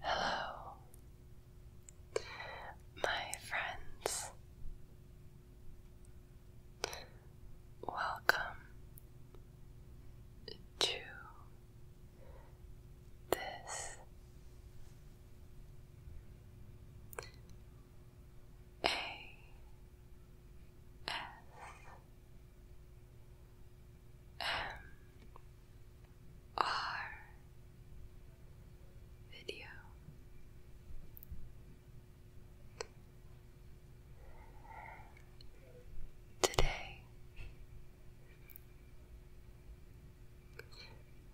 Hello, my friends. Welcome to this A. S. M R video. Today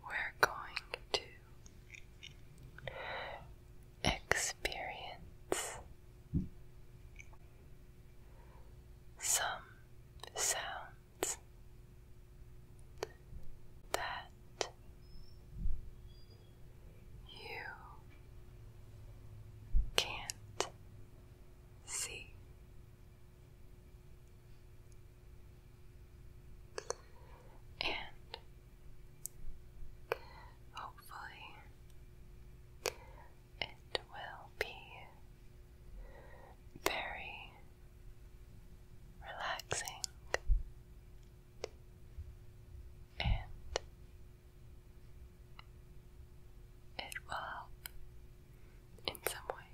we're going to experience some sounds that you can't see. And hopefully, it will be very relaxing and it will help in some way.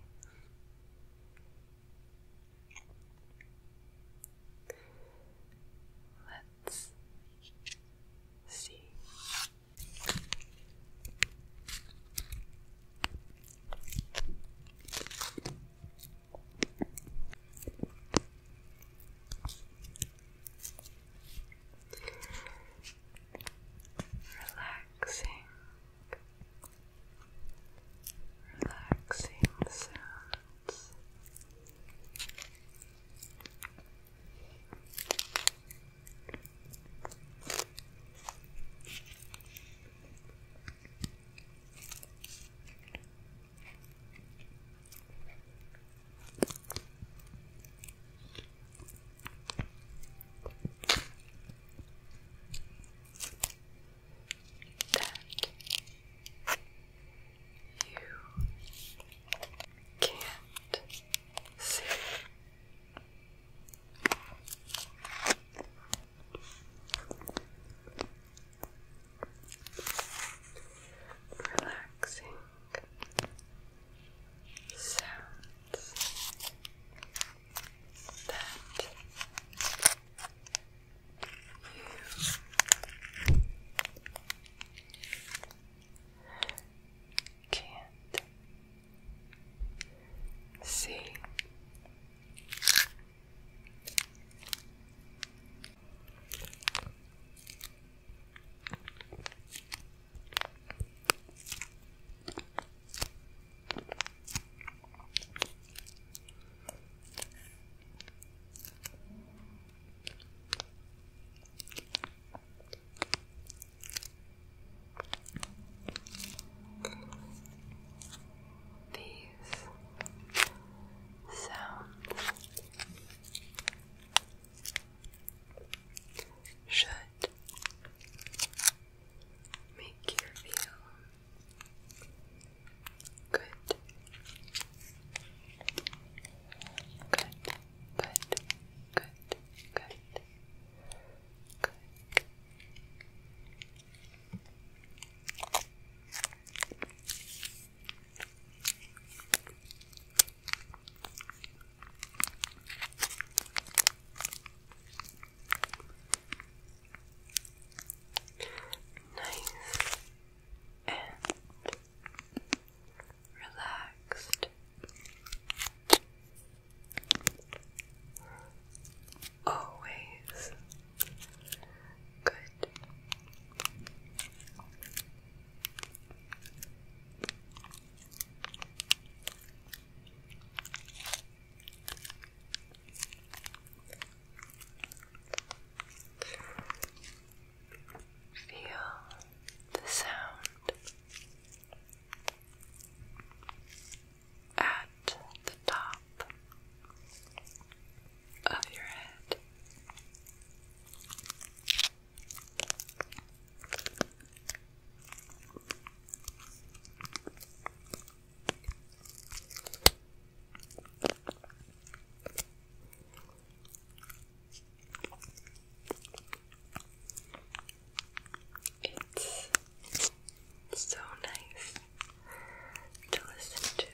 Let's see Relaxing, relaxing sounds. That you can't Relaxing sounds that you can't see these sounds should make you feel good. Good. Good. Good. Good. Good. Nice relaxed. Always good. Feel the sound at the top of your head. It's so nice to listen to.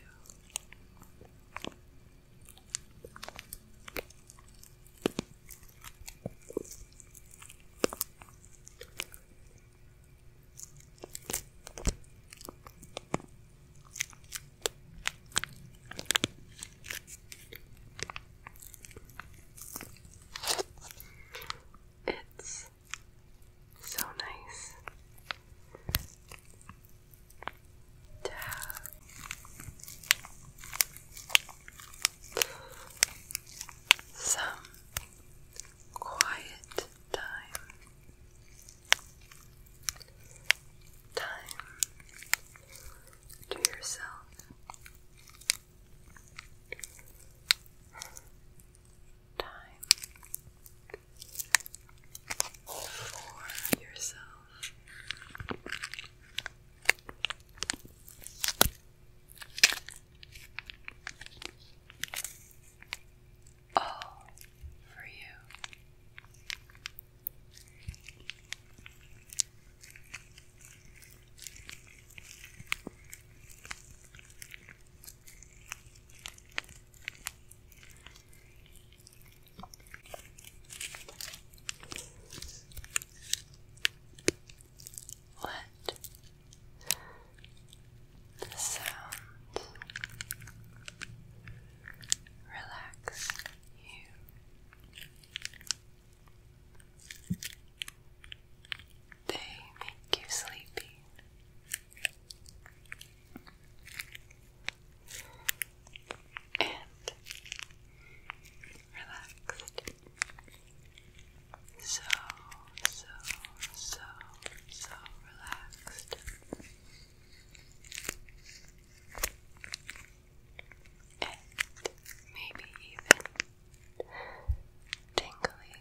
It's so nice to have some quiet time. Time to yourself. Time for yourself. All for you. Let the sound relax you. They make you sleepy. And relaxed. So, so, so, so relaxed and maybe even tingly.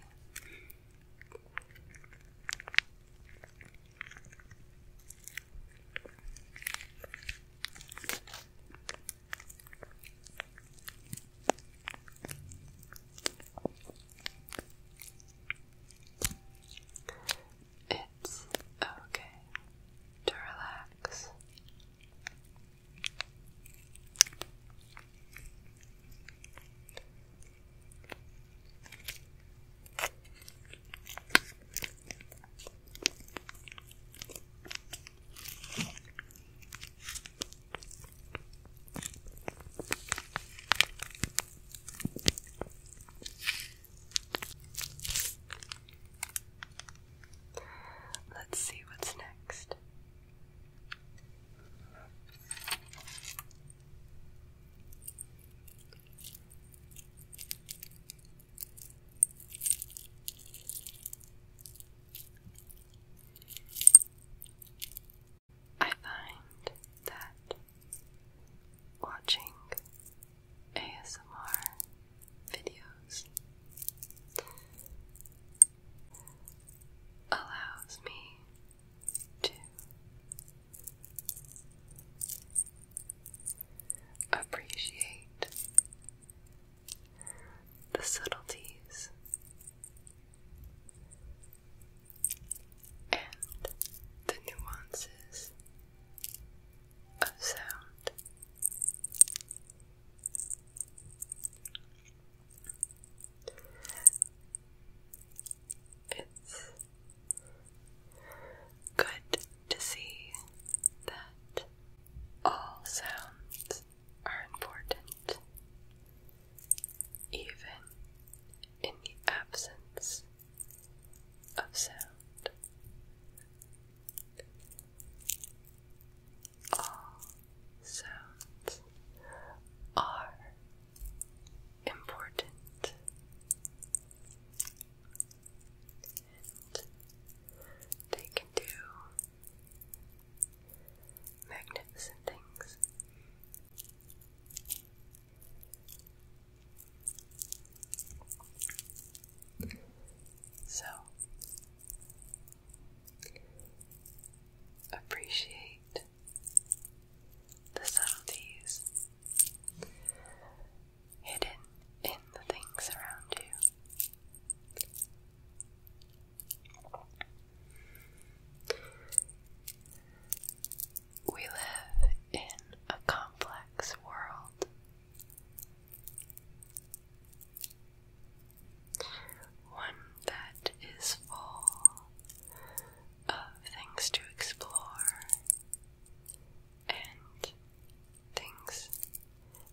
It's okay to relax. Let's see what's next. I find that watching ASMR videos allows me to appreciate the subtleties and the nuances of sound. It's good to see that all sounds are important, even in the absence of sound. All sounds are important. they can do magnificent things. So appreciate the subtleties hidden in the things around you. We live in a complex world. One that is full of things to explore and things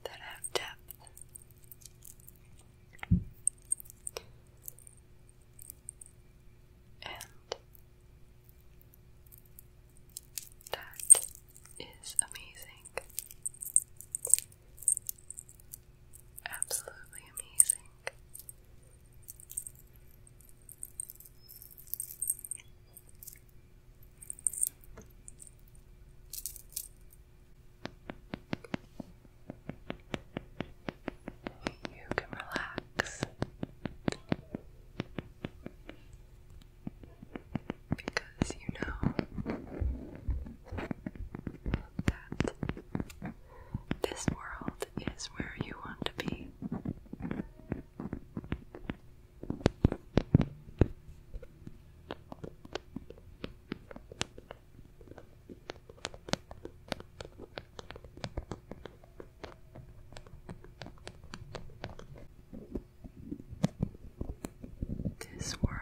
that have depth. And that is amazing. Absolutely amazing. You can relax because you know that this world is where you want to be. This world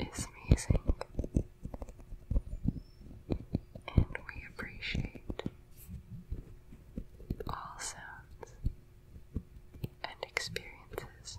is amazing, and we appreciate all sounds and experiences.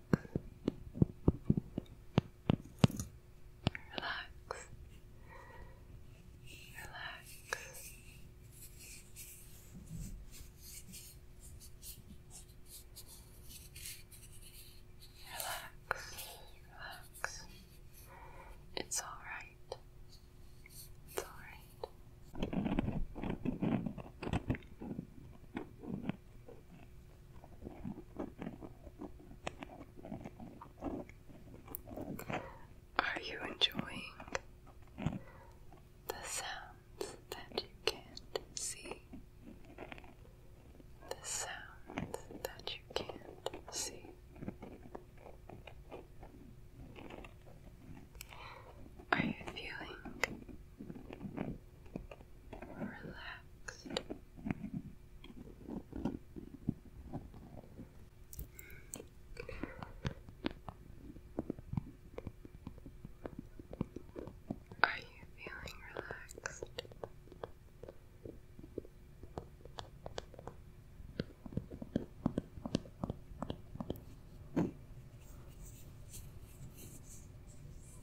Relax. Relax. Relax. Relax. It's all right. It's all right. Are you enjoying the sounds that you can't see? The sounds that you can't see. Are you feeling Relax. Are you feeling relaxed?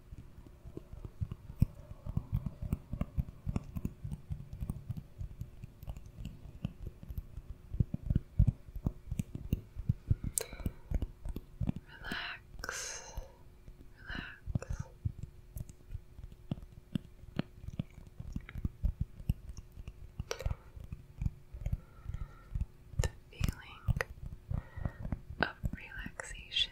Relax, relax. The feeling of relaxation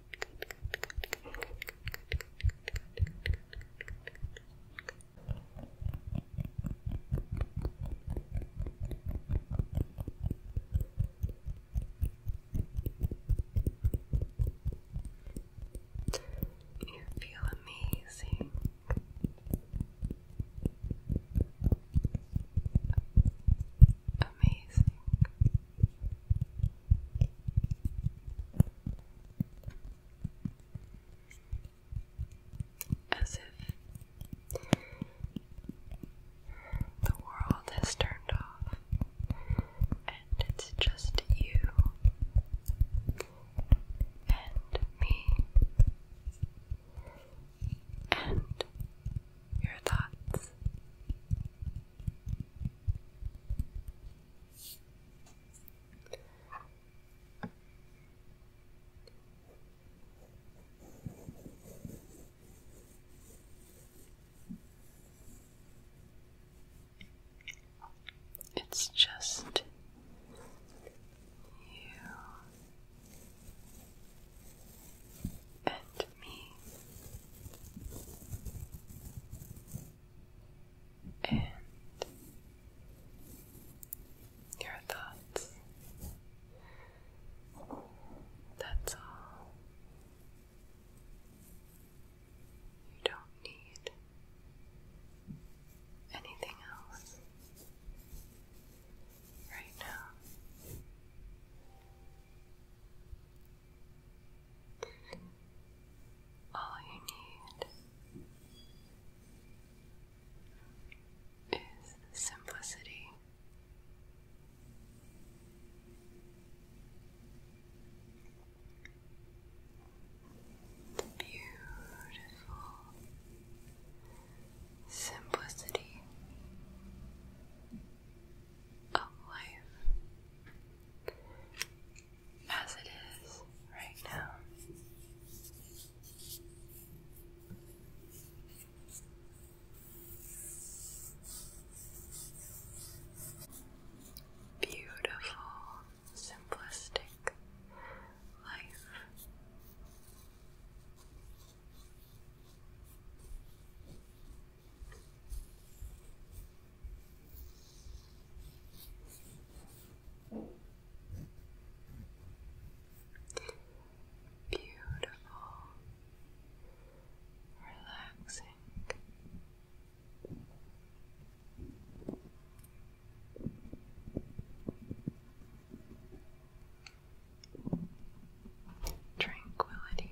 you feel amazing. Amazing. As if the world has turned off and it's just you and me and your thoughts. It's just you and me and your thoughts. That's all. You don't need anything else right now. All you need is simplicity. Beautiful simplicity of life as it is right now. Beautiful, simplistic life. Beautiful, relaxing. Tranquility.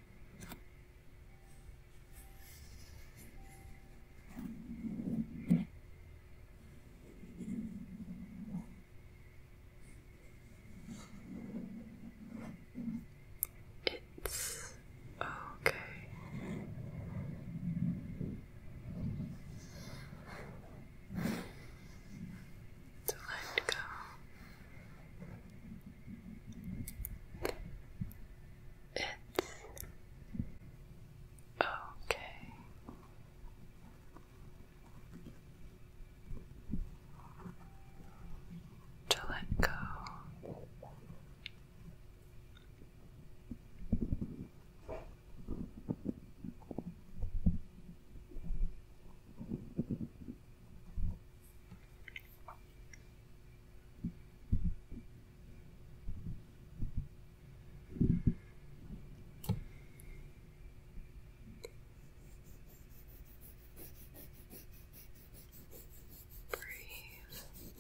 It's okay. To let go it's okay. To let go. Breathe. Breathe.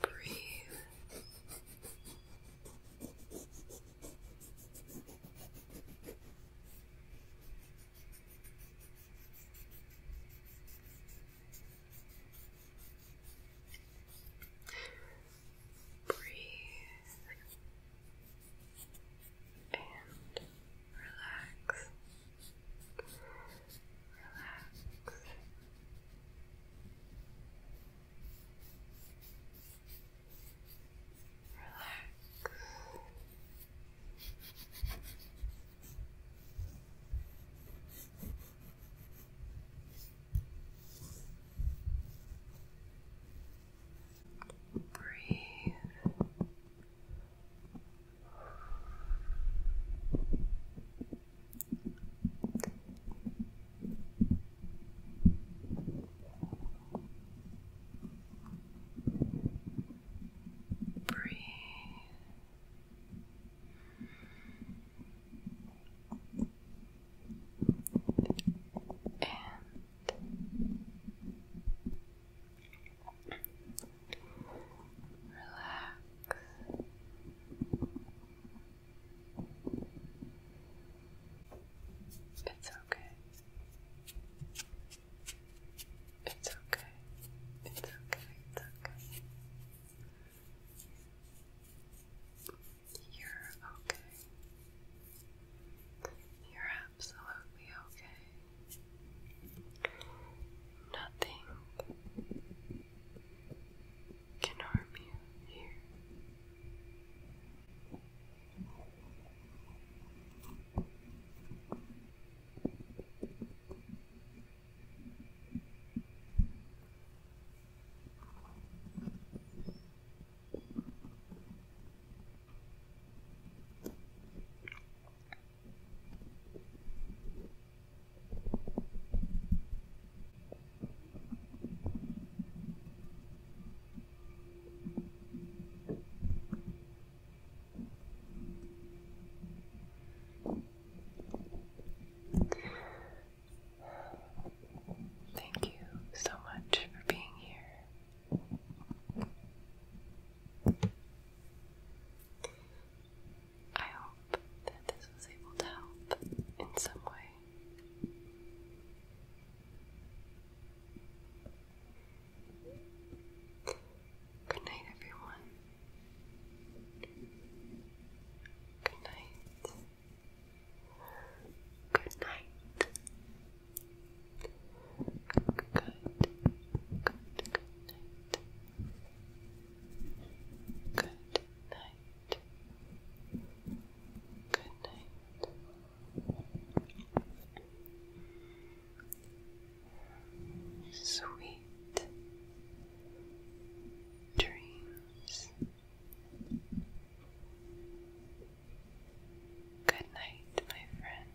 Breathe. Breathe and relax. Relax. Breathe. Relax. Breathe. And relax. It's okay. It's okay. It's okay. It's okay. You're okay. You're absolutely okay. Nothing can harm you here. Thank you so much for being here. I hope that this was able to help in some way. Good night, everyone. Good night. Good night. Good, good, night. Good night. Good night. Sweet dreams. Good night, my friend.